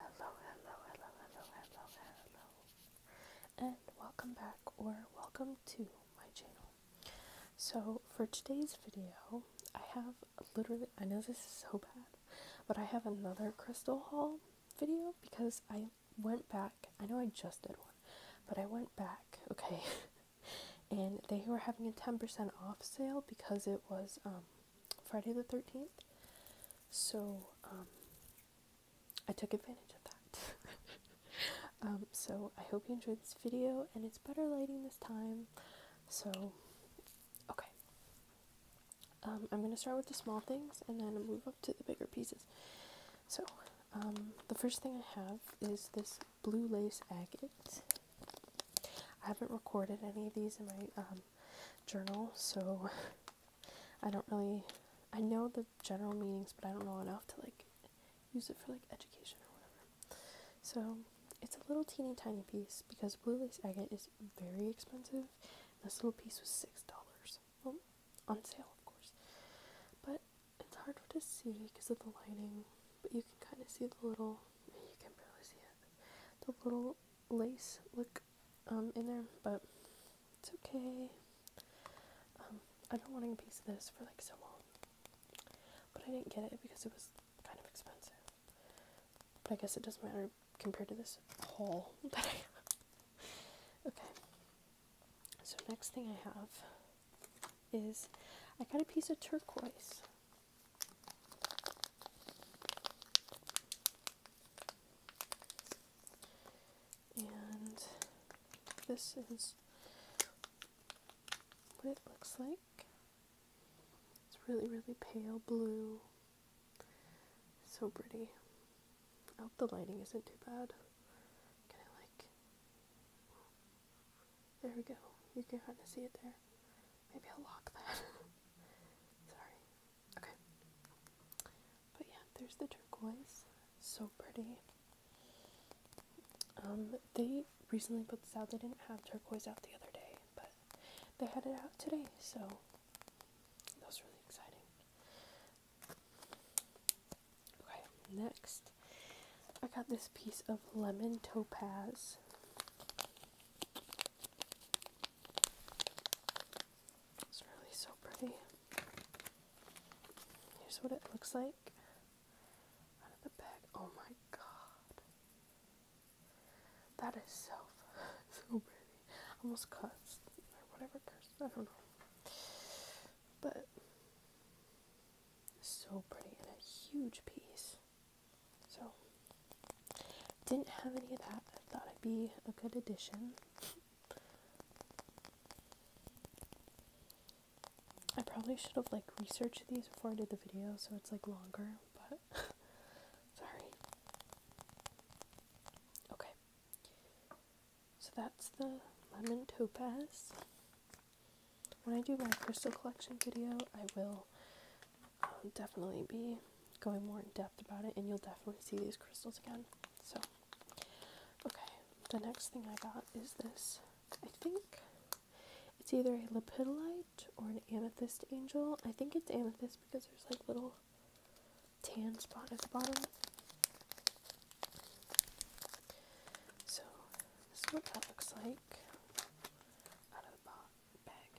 Hello, hello, hello, hello, hello, hello, and welcome back or welcome to my channel. So, for today's video, I have literally, I know this is so bad, but I have another crystal haul video because I went back. I know I just did one, but I went back, okay, and they were having a 10% off sale because it was, um, Friday the 13th. So um, I took advantage of that. Um, so I hope you enjoyed this video, and it's better lighting this time. So, okay. Um, I'm going to start with the small things and then move up to the bigger pieces. So, the first thing I have is this blue lace agate. I haven't recorded any of these in my journal, so I don't really I know the general meanings, but I don't know enough to like use it for like education or whatever. So it's a little teeny tiny piece because blue lace agate is very expensive. This little piece was six dollars. Well, on sale of course, but it's hard to see because of the lighting. But you can kind of see the little. You can barely see it. The little lace look um, in there, but it's okay. Um, I've been wanting a piece of this for like so long, but I didn't get it because it was kind of expensive. But I guess it doesn't matter compared to this haul that I have. okay, so next thing I have is I got a piece of turquoise. And this is what it looks like. It's really, really pale blue. So pretty. I hope the lighting isn't too bad. Can I like. There we go. You can kind of see it there. Maybe I'll lock that. Sorry. Okay. But yeah, there's the turquoise. So pretty. Um, they recently put this out. They didn't have turquoise out the other day, but they had it out today, so that was really exciting. Okay, next I got this piece of lemon topaz. It's really so pretty. Here's what it looks like out of the bag. Oh my god. That is so, so pretty. Almost cussed. Or whatever cursed. I don't know. But so pretty and a huge piece. So didn't have any of that. I thought it would be a good addition. I probably should have like researched these before I did the video so it's like longer, but sorry. Okay. So that's the lemon topaz. When I do my crystal collection video, I will I'll definitely be going more in depth about it, and you'll definitely see these crystals again. So, okay, the next thing I got is this. I think it's either a lepidolite or an amethyst angel. I think it's amethyst because there's like little tan spot at the bottom. So, this is what that looks like out of the bag.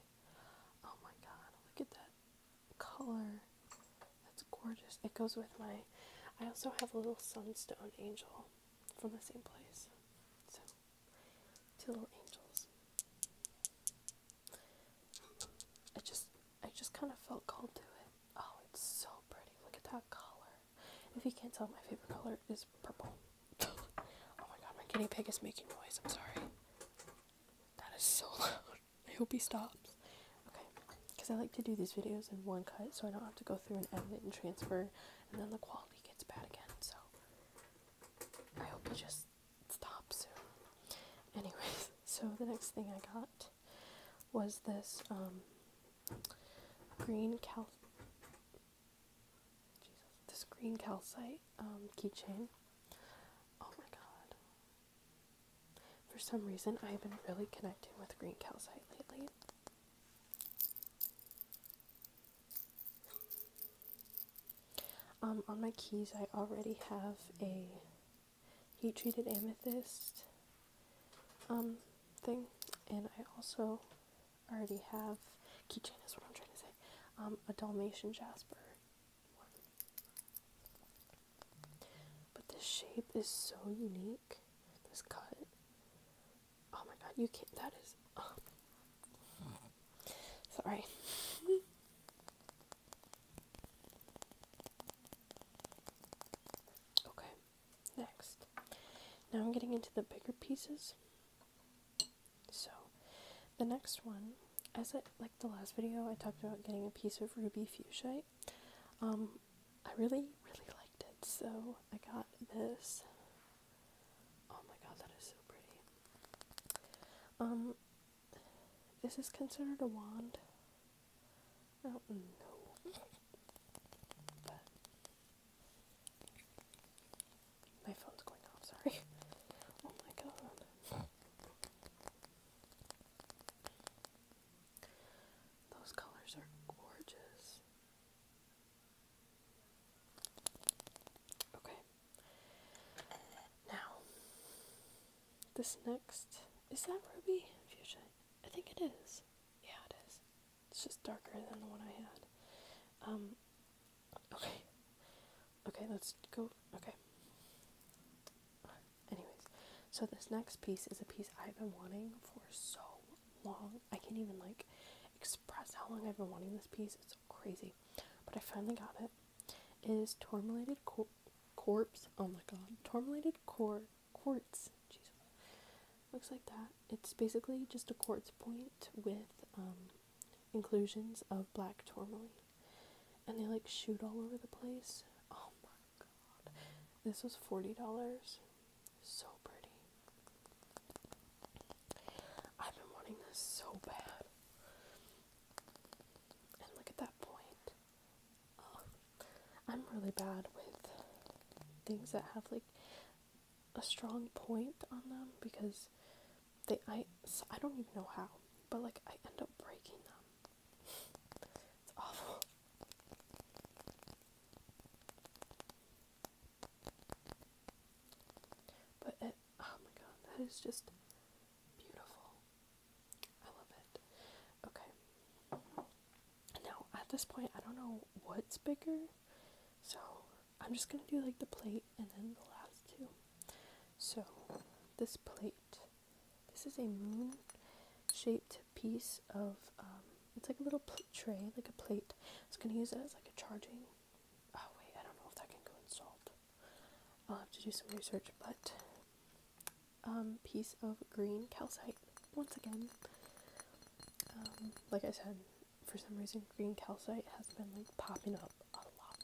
Oh my god, look at that color. That's gorgeous. It goes with my. I also have a little sunstone angel from the same place. So, two little angels. I just, I just kind of felt called to it. Oh, it's so pretty. Look at that color. If you can't tell, my favorite color is purple. oh my god, my guinea pig is making noise. I'm sorry. That is so loud. I hope he stops. Okay, because I like to do these videos in one cut so I don't have to go through and edit and transfer and then the quality gets bad again. So I hope he just stops soon. Anyways, so the next thing I got was this um, green cal this green calcite um, keychain. Oh my god. For some reason, I've been really connecting with green calcite lately. Um, on my keys, I already have a heat treated amethyst um, thing, and I also already have keychain, is what I'm trying to say, um, a Dalmatian jasper but this shape is so unique. This cut. Oh my god, you can't. That is. Oh. Sorry. okay, next. Now I'm getting into the bigger pieces. So, the next one, as I, like the last video, I talked about getting a piece of ruby fuchsia. Um, I really, really liked it, so I got this. Oh my god, that is so pretty. Um, this considered a wand. I don't know. my phone's going off, sorry. Oh my god. Those colors are gorgeous. Okay. Now, this next is that ruby fuchsia? I think it is. Yeah, it is. It's just darker than the one I had. Um, Okay. Okay, let's go. Okay. Anyways, so this next piece is a piece I've been wanting for so long. I can't even like express how long I've been wanting this piece. It's so crazy. But I finally got it. It is Tormelated cor- Corpse. Oh my god. Tormelated cor- Quartz. Jesus. Looks like that. It's basically just a quartz point with um, inclusions of black tourmaline, and they like shoot all over the place. Oh my god, this was forty dollars. So pretty. I've been wanting this so bad. And look at that point. Oh, I'm really bad with things that have like a strong point on them because they I I don't even know how, but like I end up breaking them. It's awful. But it oh my god, that is just beautiful. I love it. Okay. Now at this point I don't know what's bigger. So I'm just gonna do like the plate and then the last two. So, this plate, this is a moon shaped piece of, um, it's like a little tray, like a plate. I was going to use it as like a charging. Oh, wait, I don't know if that can go installed. I'll have to do some research, but um, piece of green calcite once again. Um, like I said, for some reason, green calcite has been like popping up a lot,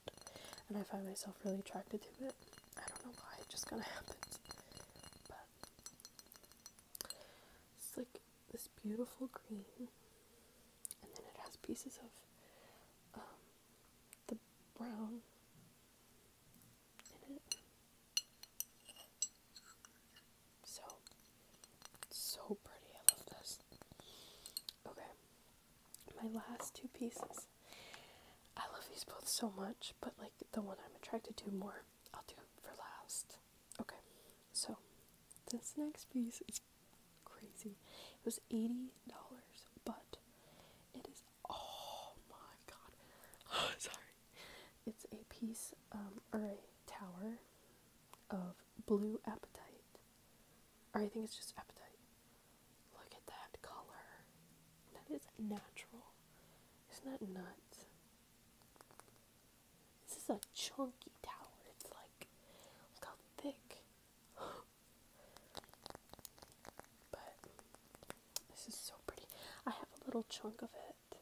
and I find myself really attracted to it. I don't know why, it just kind of happens. But it's like this beautiful green, and then it has pieces of um, the brown in it. So, so pretty. I love this. Okay, my last two pieces. I love these both so much, but like the one I'm attracted to more, I'll do for last. Okay, so this next piece is crazy. It was $80, but it is, oh my god, sorry. It's a piece, um, or a tower of blue appetite, or I think it's just appetite. Look at that color. That is natural. Isn't that nuts? This is a chunky tower. It's like, look how thick. but this is so pretty. I have a little chunk of it,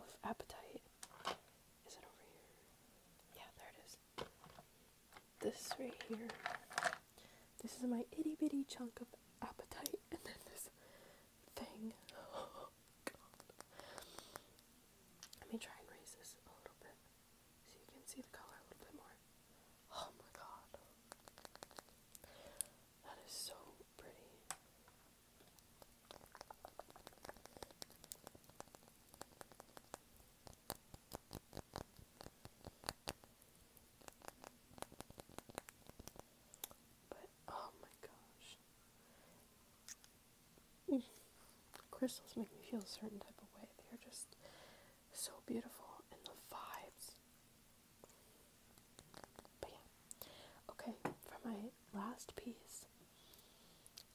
of appetite. Is it over here? Yeah, there it is this right here. This is my itty bitty chunk of appetite, and then this thing. Oh, Let me try and raise this a little bit so you can see the color a little bit more. Oh my God. That is so pretty. But oh my gosh. Crystals make me feel a certain type of way. They are just so beautiful and the vibes. But yeah. Okay, for my last piece,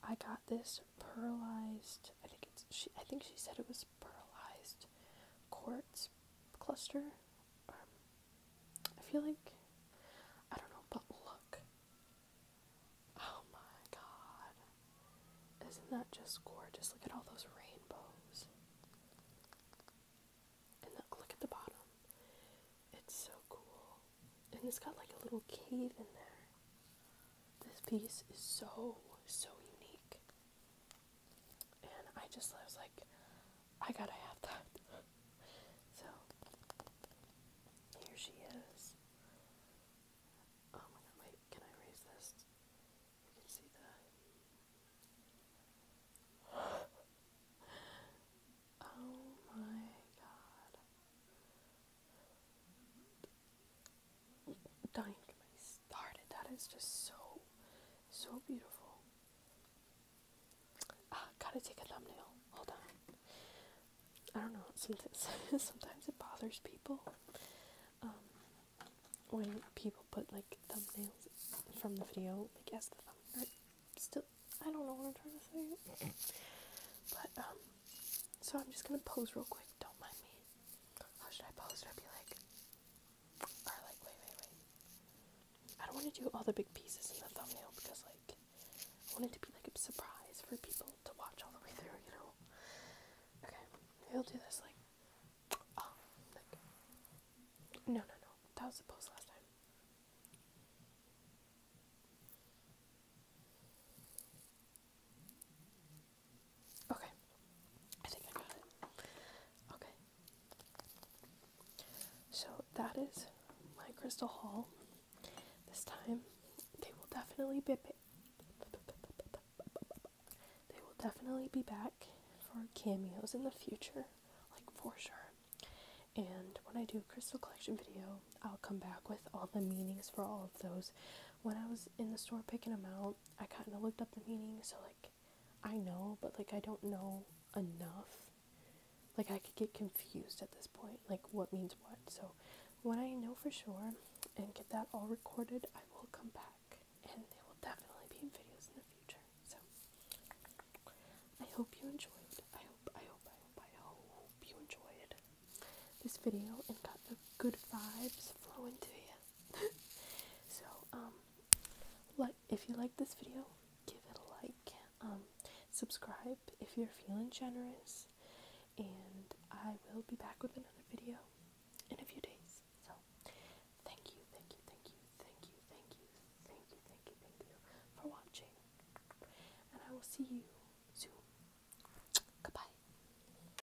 I got this pearlized I think it's she I think she said it was pearlized quartz cluster. Um, I feel like I don't know, but look. Oh my god. Isn't that just gorgeous? Look at all those rainbows. And look at the bottom. It's so cool. And it's got like a little cave in there. This piece is so, so unique. And I just was like, I gotta have that. so here she is. Oh my god, wait, can I raise this? You can see the Oh my god. Dying not my get and That is just so, so beautiful. Ah, gotta take a thumbnail. Hold on. I don't know. Sometimes, sometimes it bothers people um, when people put like thumbnails from the video like as the thumbnail. Still, I don't know what I'm trying to say. But um, so I'm just gonna pose real quick. Don't mind me should I pose? Should be like, or like, wait, wait, wait. I don't want to do all the big pieces in the thumbnail because like, I want it to be like a surprise for people to watch all the way through, you know? Okay, I'll do this oh, like, no, no, no, that was the pose last time. Okay. I think I got it. Okay. So that is my crystal haul. This time they will definitely be they will definitely be back for cameos in the future, like for sure. And when I do a crystal collection video, I'll come back with all the meanings for all of those. When I was in the store picking them out, I kind of looked up the meaning, so like I know, but like I don't know enough. Like I could get confused at this point, like what means what. So when I know for sure and get that all recorded, I will come back and they will definitely be in videos in the future. So I hope you enjoyed. I hope, I hope, I hope, I hope you enjoyed this video and got the good vibes flowing to you. so um like if you like this video give it a like um subscribe if you're feeling generous and i will be back with another video in a few days so thank you thank you thank you thank you thank you thank you thank you thank you for watching and i will see you soon goodbye